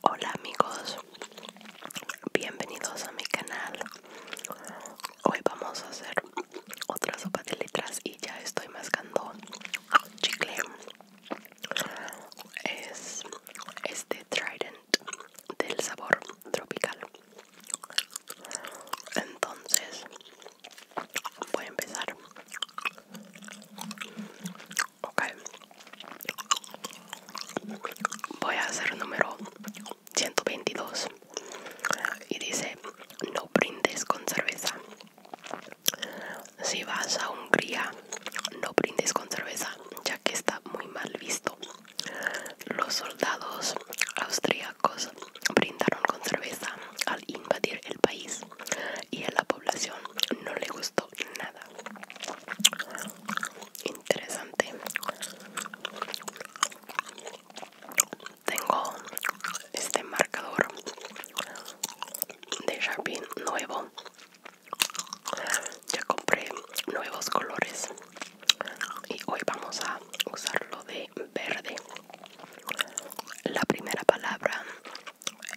Hola amigos, bienvenidos a mi canal. Hoy vamos a hacer otra sopa de letras y ya estoy mascando chicle. Es este Trident del sabor tropical. Entonces voy a empezar. Ok. Voy a hacer número 122. Y dice, no brindes con cerveza. Si vas a Hungría, no brindes con cerveza, ya que está muy mal visto. Los soldados austriacos brindaron con cerveza al invadir el país y a la población no le gustó nada interesante tengo este marcador de Sharpie nuevo ya compré nuevos colores y hoy vamos a usarlo de verde la primera palabra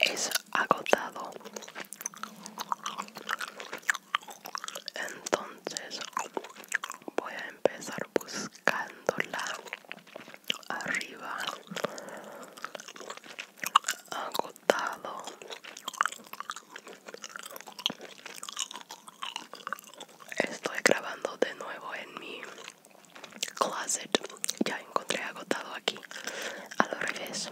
es agotado entonces voy a empezar buscándola arriba agotado estoy grabando de nuevo en mi closet ya encontré agotado aquí a lo revés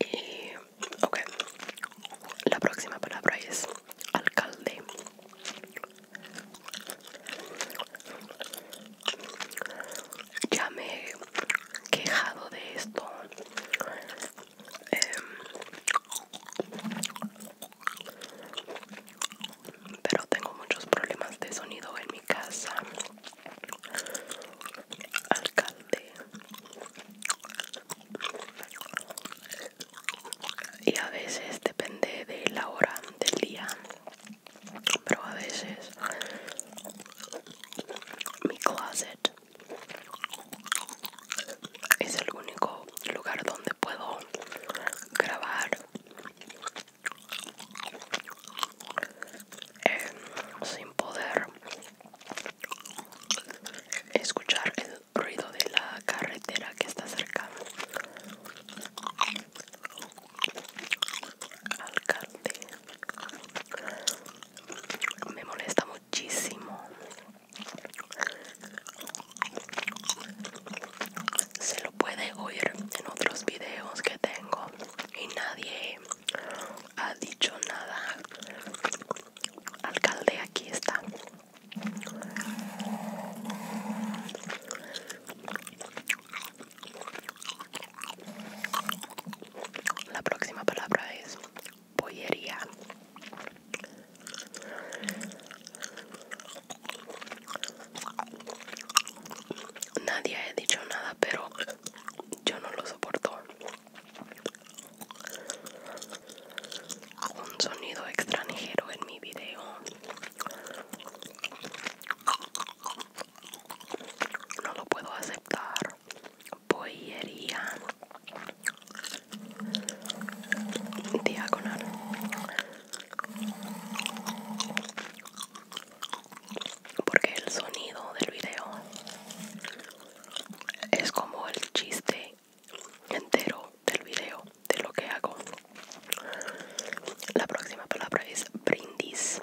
y, ok, la próxima palabra es alcalde. Ya me he quejado de esto. Eh, pero tengo muchos problemas de sonido en mi casa alcalde y a veces depende de la hora del día pero a veces mi closet es el único lugar donde puedo grabar em, sin poder escuchar el ruido de la carretera que está cerca alcalde me molesta muchísimo se lo puede oír en otros videos que tengo y nadie ha dicho nada. Alcalde, aquí está. La próxima palabra es pollería. Nadie ha dicho nada, pero yo no lo soporto. Un sonido extranjero en mi video. No lo puedo aceptar. Boyería. Diagonal. Porque el sonido del video es como el chiste entero del video de lo que hago. La próxima palabra es brindis.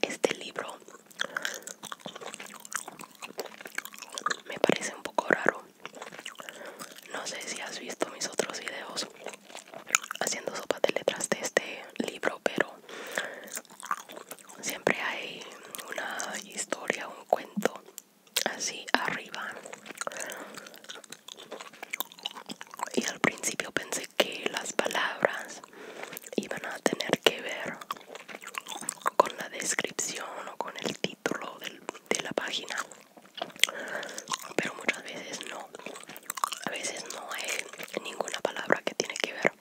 Este libro me parece un poco raro no sé si has visto mis otros videos haciendo sopa de letras de este libro, pero siempre hay una historia, un cuento así arriba. Y al principio pensé que las palabras iban a tener que ver con la descripción o con el título de la página pero muchas veces no a veces no hay ninguna palabra que tiene que ver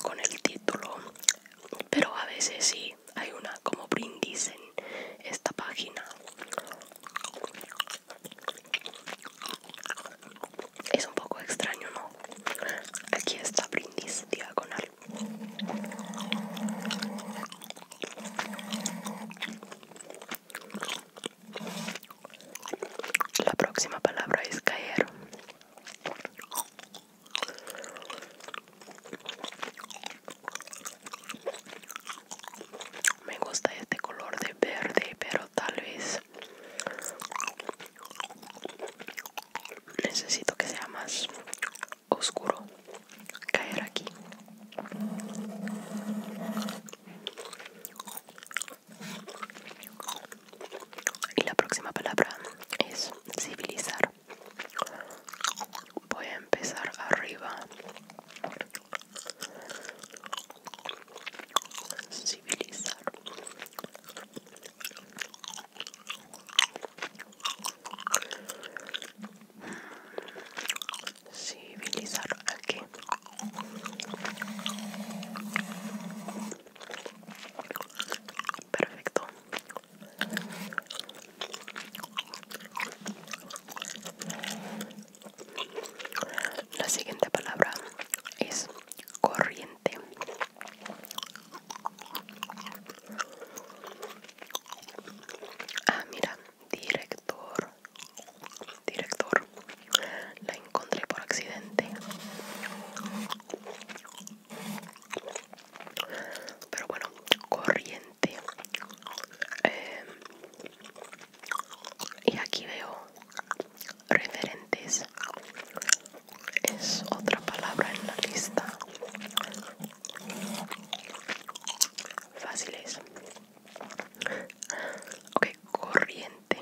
con el título pero a veces sí hay una como brindis en esta página es un poco extraño no aquí está brindis diagonal la próxima palabra es caer. Me gusta este color de verde, pero tal vez necesito que sea más oscuro caer aquí y la próxima palabra es civilizar voy a empezar arriba civilizar civilizar aquí perfecto la siguiente palabra es corriente Ah, mira, director. Director. La encontré por accidente. Pero bueno, corriente. Em, y aquí veo referentes es otra palabra en la lista. es Ok, corriente.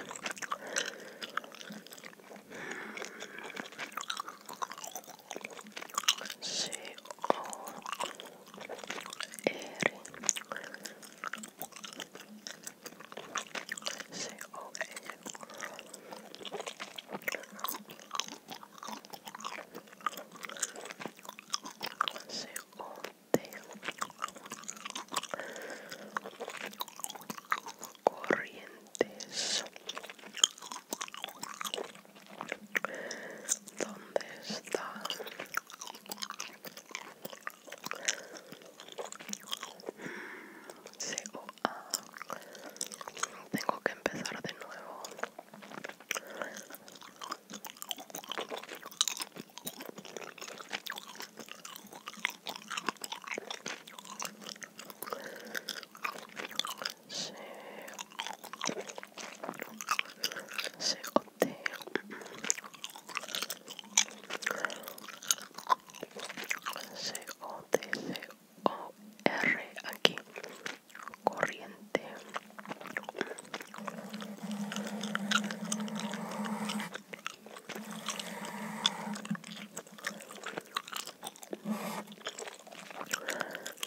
C O R C O Corrientes ¿Dónde está? Mm, C O A tengo que empezar de nuevo o r aquí corriente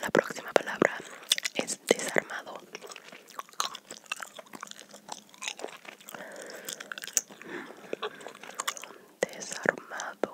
la próxima palabra es desarmado desarmado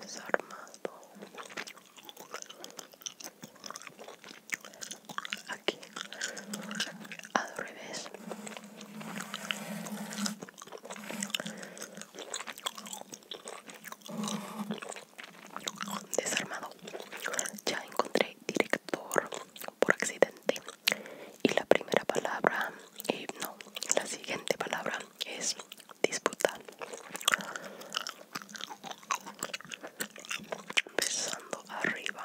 desarmado aquí al revés desarmado ya encontré director por accidente y la primera palabra no la siguiente palabra es disputar empezando arriba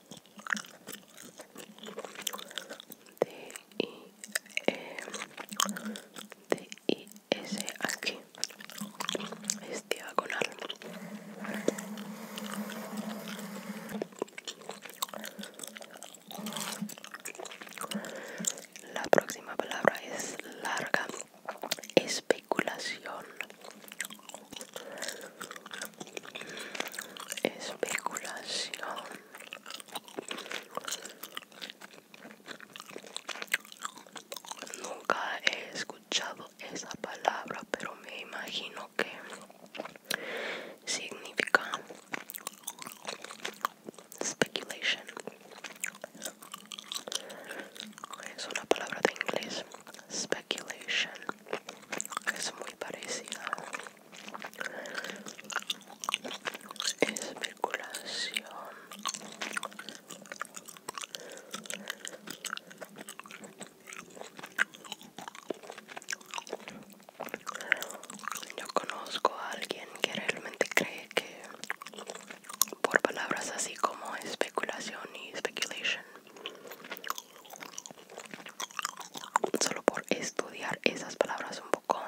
D I S aquí es diagonal la próxima palabra es larga especulación especulación nunca he escuchado esa palabra pero me imagino que significa speculation es una palabra de inglés speculation es muy parecida especulación yo conozco a alguien que realmente cree que por palabras así como especulación y speculation solo por estudiar esas palabras un poco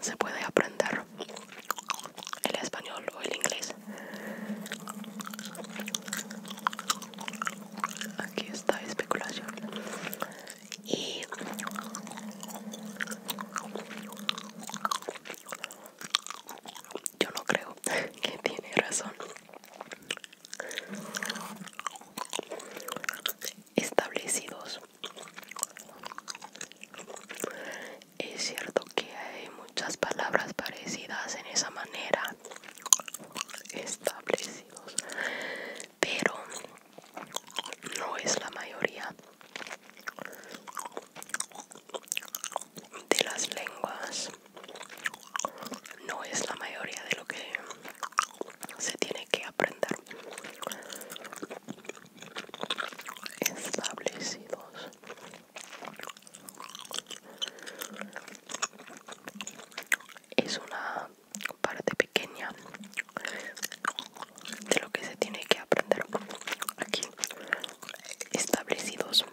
se puede aprender el español o el inglés aquí está especulación y yo no creo que tiene razón establecidos es cierto que hay muchas palabras parecidas en esa manera establecidos pero no es la mayoría de las lenguas no es la mayoría de lo que se tiene que aprender establecidos es una parte pequeña de lo que se tiene que aprender aquí establecidos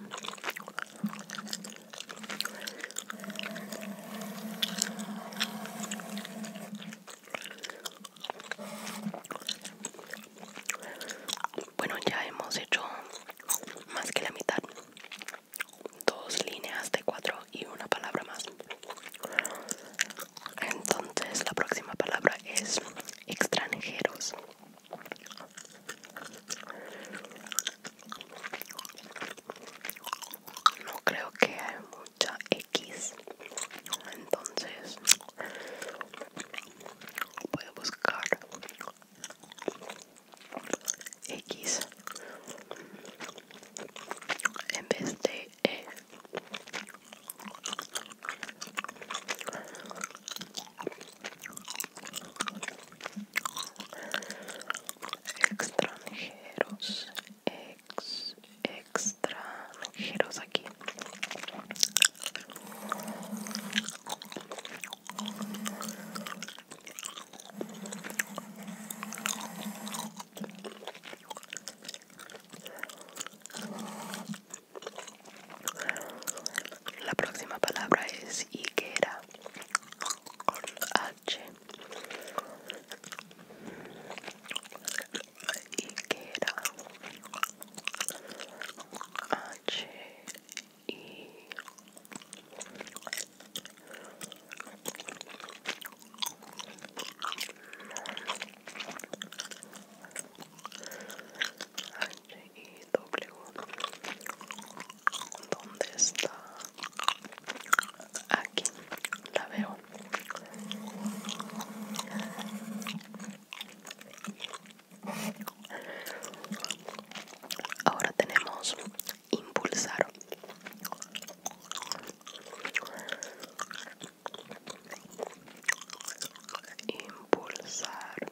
bueno, ya hemos hecho más que la mitad. Dos líneas de cuatro y una palabra más. Entonces la próxima palabra es extranjeros. No creo que hay mucha X. Entonces voy a buscar X en vez de E extranjeros ex extranjeros aquí la próxima palabra es higuera H y que H y H ¿Dónde está? Aquí la veo. Ahora tenemos impulsar. Impulsar.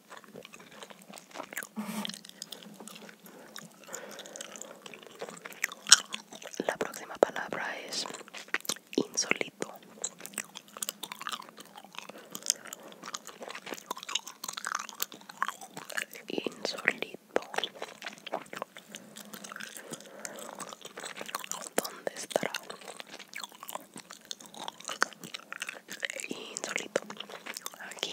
La próxima palabra es insolito Insolito. ¿Dónde estará? y solito aquí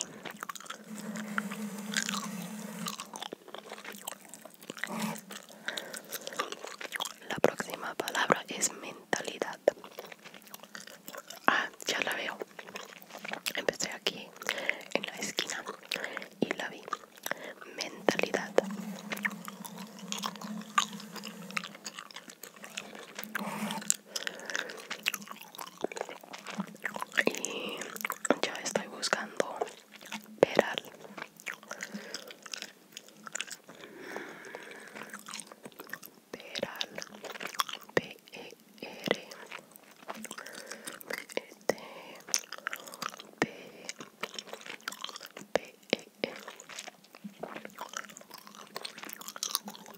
la próxima palabra es mentalidad ah ya la veo empecé aquí en la esquina y la vi mentalidad y ya estoy buscando peral peral p e r e t p p e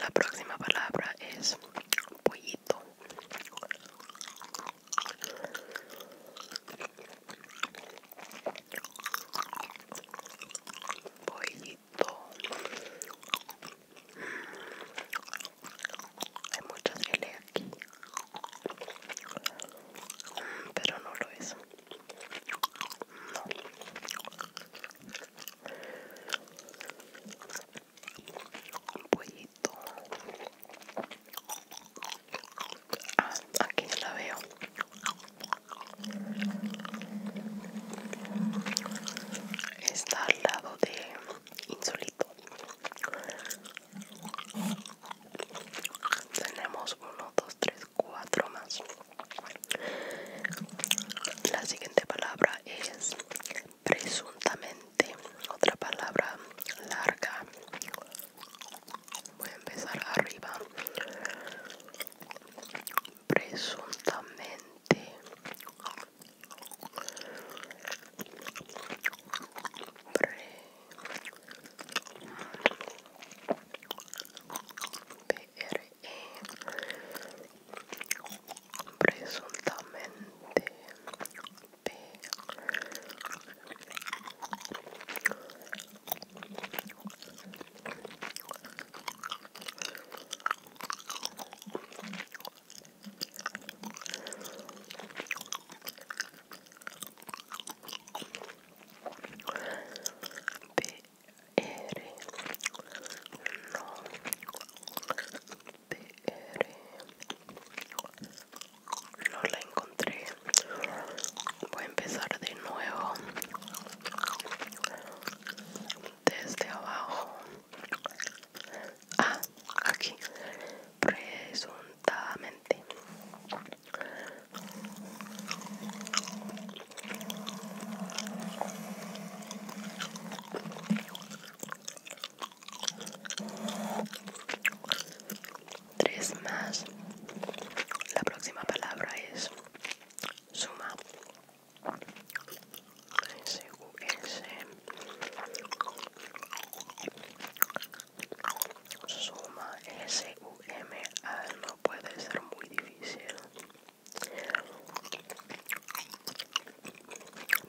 La próxima palabra es pollito. Pollito. Hay muchas L aquí. Pero no lo es pollito. Ah, aquí la veo. Está al lado de Insolito tenemos uno, dos, tres, cuatro más la siguiente palabra es presuntamente otra palabra larga voy a empezar arriba presuntamente presuntamente P R. no R. no la encontré voy a empezar de nuevo desde abajo ah aquí presuntamente Tres más. La próxima palabra es suma suma S-U-M-A no puede ser muy difícil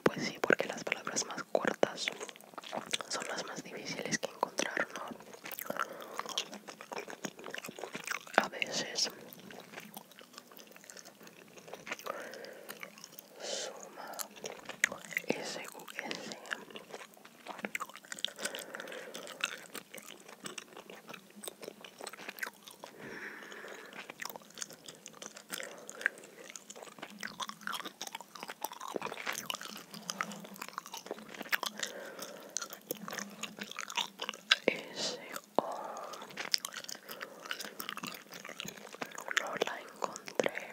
pues sí porque las palabras más cortas son las más difíciles que encontrar no a veces suma S-U-S ese no la encontré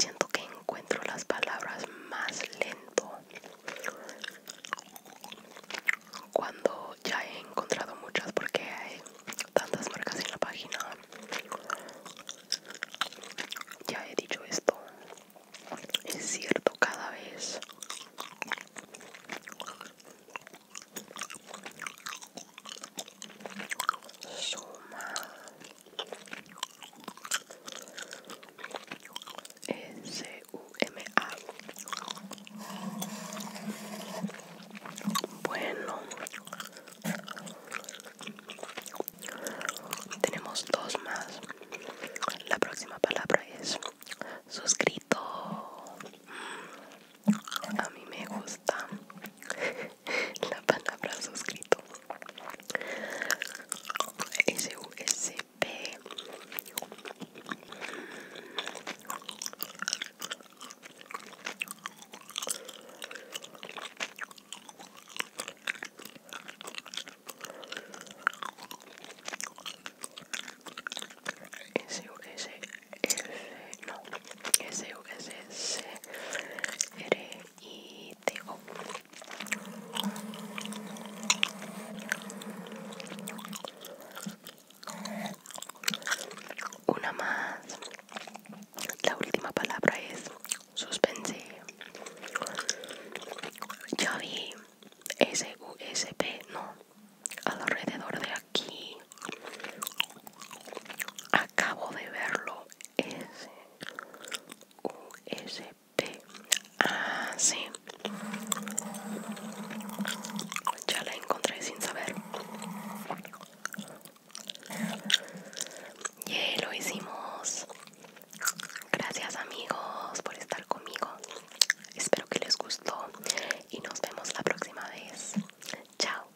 Siento que encuentro las palabras más lento. Cuando ya he encontrado muchas porque hay tantas marcas en la página. Ya he dicho esto. Es cierto, cada vez suma S U M A bueno tenemos dos más la próxima palabra es suscrito mm, a mí me gusta la palabra suscrito u S-U-S-F, no, S-U-S-C-R y tengo una más la última palabra es suspense ya vi p no alrededor de aquí acabo de verlo S U S P Ah, sí Ya la encontré sin saber Y lo hicimos Gracias amigos por estar conmigo Espero que les gustó y nos vemos la próxima vez. Chao.